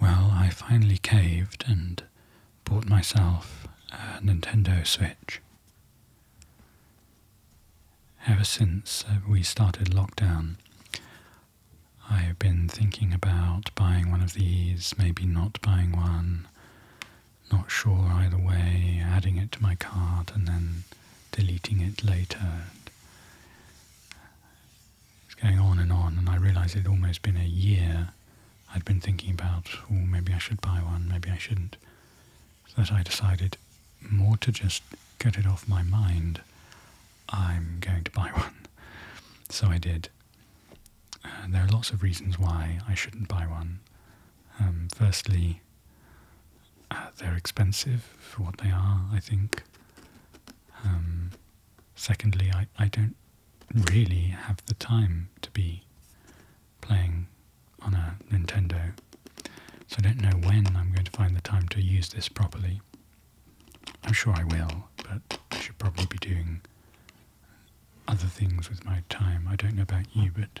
Well, I finally caved and bought myself a Nintendo Switch. Ever since uh, we started lockdown, I've been thinking about buying one of these, maybe not buying one, not sure either way, adding it to my cart and then deleting it later. It's going on and on, and I realised it'd almost been a year I'd been thinking about, oh, maybe I should buy one, maybe I shouldn't. So that I decided more to just get it off my mind, I'm going to buy one. So I did. there are lots of reasons why I shouldn't buy one. Um, firstly, uh, they're expensive for what they are, I think. Um, secondly, I, I don't really have the time to be playing on a Nintendo, so I don't know when I'm going to find the time to use this properly. I'm sure I will, but I should probably be doing other things with my time. I don't know about you, but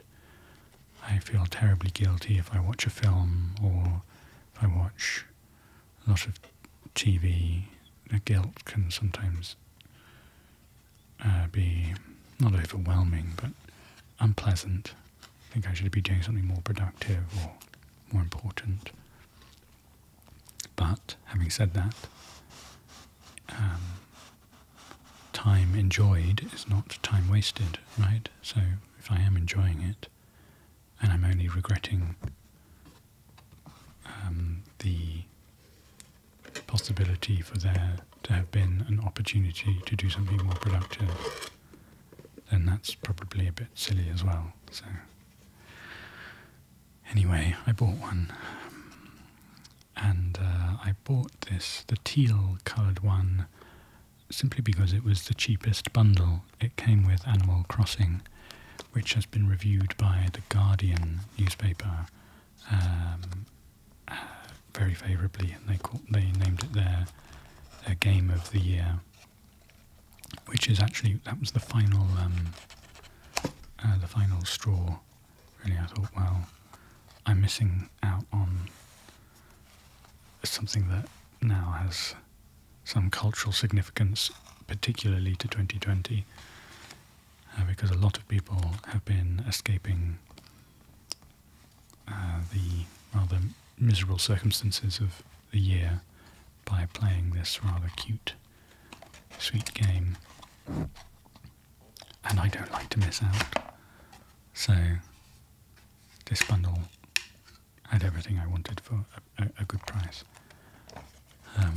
I feel terribly guilty if I watch a film or if I watch a lot of TV, guilt can sometimes uh, be not overwhelming, but unpleasant. I think I should be doing something more productive or more important. But having said that, um, time enjoyed is not time wasted, right? So if I am enjoying it, and I'm only regretting um, the possibility for there to have been an opportunity to do something more productive, then that's probably a bit silly as well. So, anyway, I bought one. And uh, I bought this, the teal coloured one, simply because it was the cheapest bundle. It came with Animal Crossing, which has been reviewed by the Guardian newspaper um, uh, very favourably, and they they named it their game of the year, which is actually that was the final um, uh, the final straw. Really, I thought, well, I'm missing out on as something that now has some cultural significance, particularly to 2020, uh, because a lot of people have been escaping uh, the rather miserable circumstances of the year by playing this rather cute, sweet game. And I don't like to miss out. So this bundle had everything I wanted for a, good price. Um,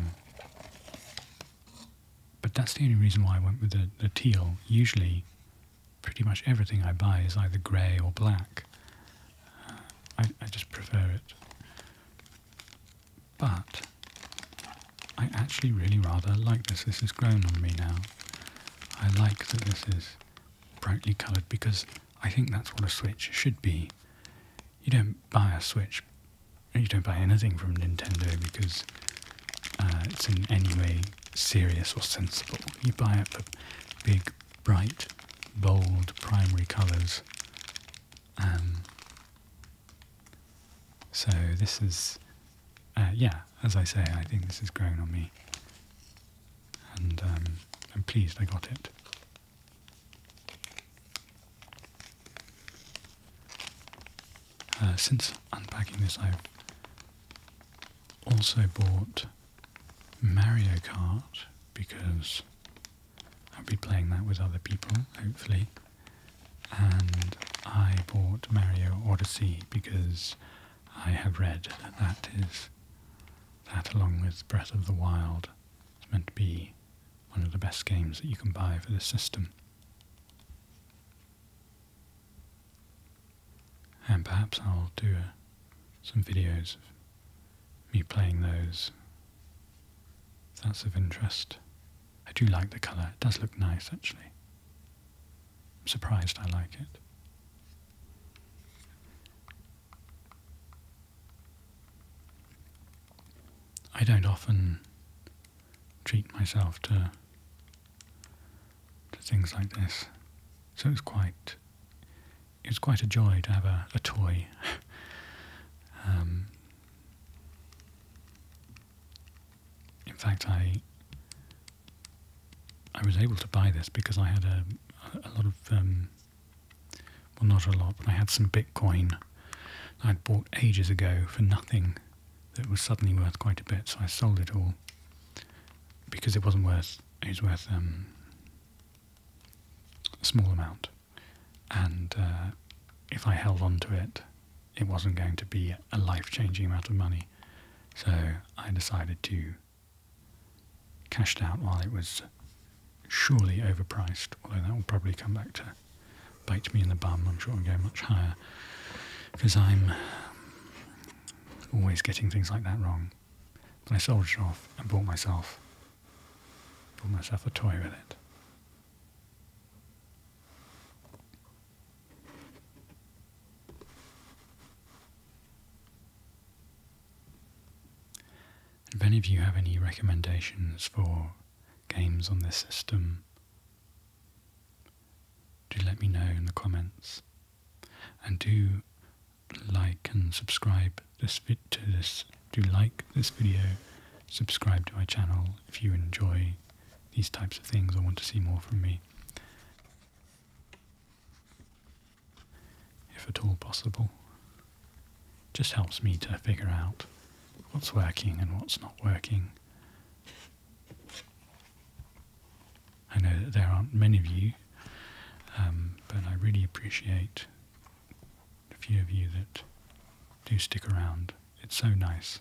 but that's the only reason why I went with the, teal. Usually, pretty much everything I buy is either grey or black. Uh, I, just prefer it. But I actually really rather like this. This has grown on me now. I like that this is brightly coloured because I think that's what a Switch should be. You don't buy a Switch, you don't buy anything from Nintendo because uh, it's in any way serious or sensible. You buy it for big, bright, bold primary colours. Um, so this is, uh, yeah, as I say, I think this is growing on me and um, I'm pleased I got it. Uh, since unpacking this, i also bought Mario Kart because I'll be playing that with other people, hopefully. And I bought Mario Odyssey because I have read that that is that along with Breath of the Wild is meant to be one of the best games that you can buy for the system. And perhaps I'll do some videos of me playing those. If that's of interest. I do like the colour. It does look nice actually. I'm surprised I like it. I don't often treat myself to to things like this. So it's quite it's quite a joy to have a, a toy. Um, in fact, I I was able to buy this because I had a lot of um, well, not a lot, but I had some Bitcoin I'd bought ages ago for nothing that was suddenly worth quite a bit. So I sold it all because it wasn't worth. It was worth um, a small amount, and uh, if I held on to it, it wasn't going to be a life changing amount of money. So I decided to cash it out while it was surely overpriced, although that will probably come back to bite me in the bum. I'm sure it'll go much higher because I'm always getting things like that wrong. But I soldiered off and bought myself bought myself a toy with it. If any of you have any recommendations for games on this system, do let me know in the comments. And do like and subscribe this vid to this. Do like this video, subscribe to my channel if you enjoy these types of things or want to see more from me. If at all possible. Just helps me to figure out what's working and what's not working. I know that there aren't many of you, um, but I really appreciate a few of you that do stick around it's so nice.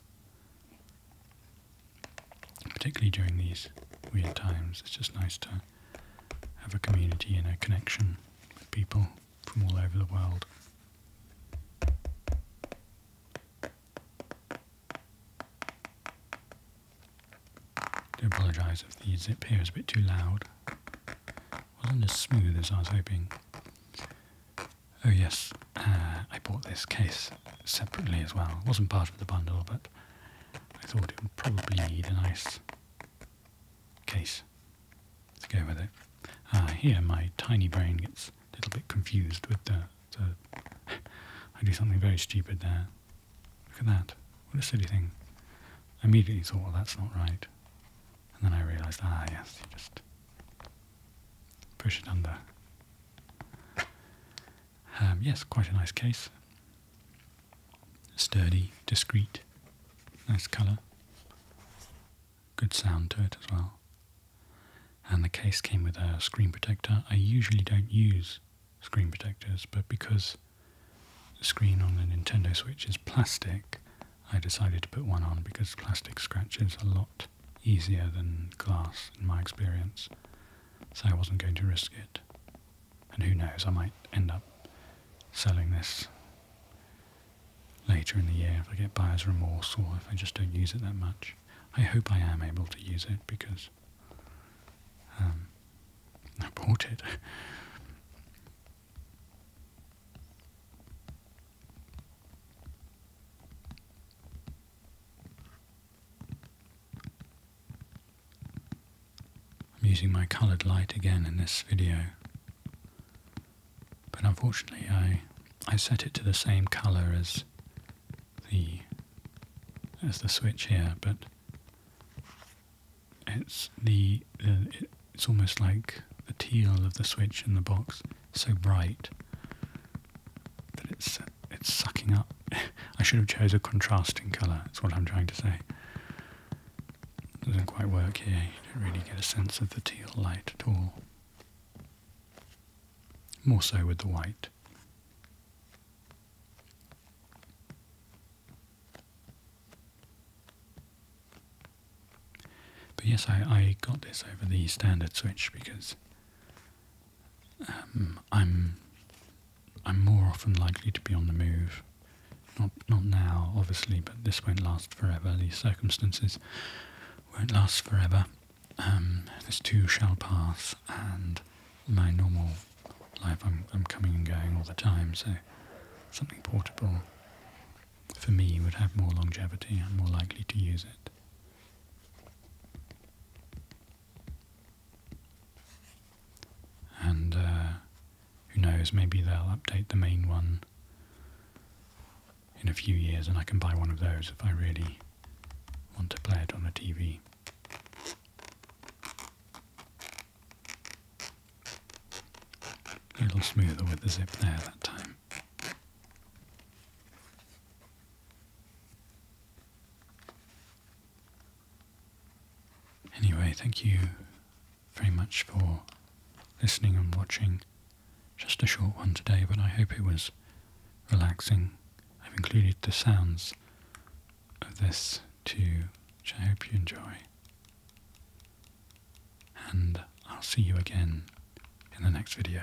Particularly during these weird times, it's just nice to have a community and a connection with people from all over the world. I do apologise if the zip here is a bit too loud. It wasn't as smooth as I was hoping. Oh yes, uh, I bought this case separately as well. It wasn't part of the bundle, but I thought it would probably need a nice case to go with it. Ah, here my tiny brain gets a little bit confused with the... the I do something very stupid there. Look at that. What a silly thing. I immediately thought, well, that's not right. And then I realised, ah, yes, you just Push it under. Um, yes, quite a nice case. Sturdy, discreet, nice colour. Good sound to it as well. And the case came with a screen protector. I usually don't use screen protectors, but because the screen on the Nintendo Switch is plastic, I decided to put one on because plastic scratches a lot easier than glass in my experience, so I wasn't going to risk it. And who knows, I might end up selling this later in the year if I get buyer's remorse or if I just don't use it that much. I hope I am able to use it because um, I bought it. I'm using my coloured light again in this video, but unfortunately I I set it to the same colour as the as the switch here, but it's the uh, it's almost like the teal of the switch in the box, so bright that it's it's sucking up. I should have chose a contrasting colour. That's what I'm trying to say. It doesn't quite work here. You don't really get a sense of the teal light at all. More so with the white. But yes, I, I got this over the standard Switch because um, I'm I'm more often likely to be on the move. Not not now, obviously, but this won't last forever. These circumstances won't last forever. Um, this too shall pass, and my normal life, I'm I'm coming and going all the time. So something portable for me, would have more longevity. and more likely to use it. And uh, who knows, maybe they'll update the main one in a few years and I can buy one of those if I really want to play it on a TV. A little smoother with the zip there that time. Anyway, thank you very much for listening and watching. Just a short one today, but I hope it was relaxing. I've included the sounds of this too, which I hope you enjoy and I'll see you again in the next video.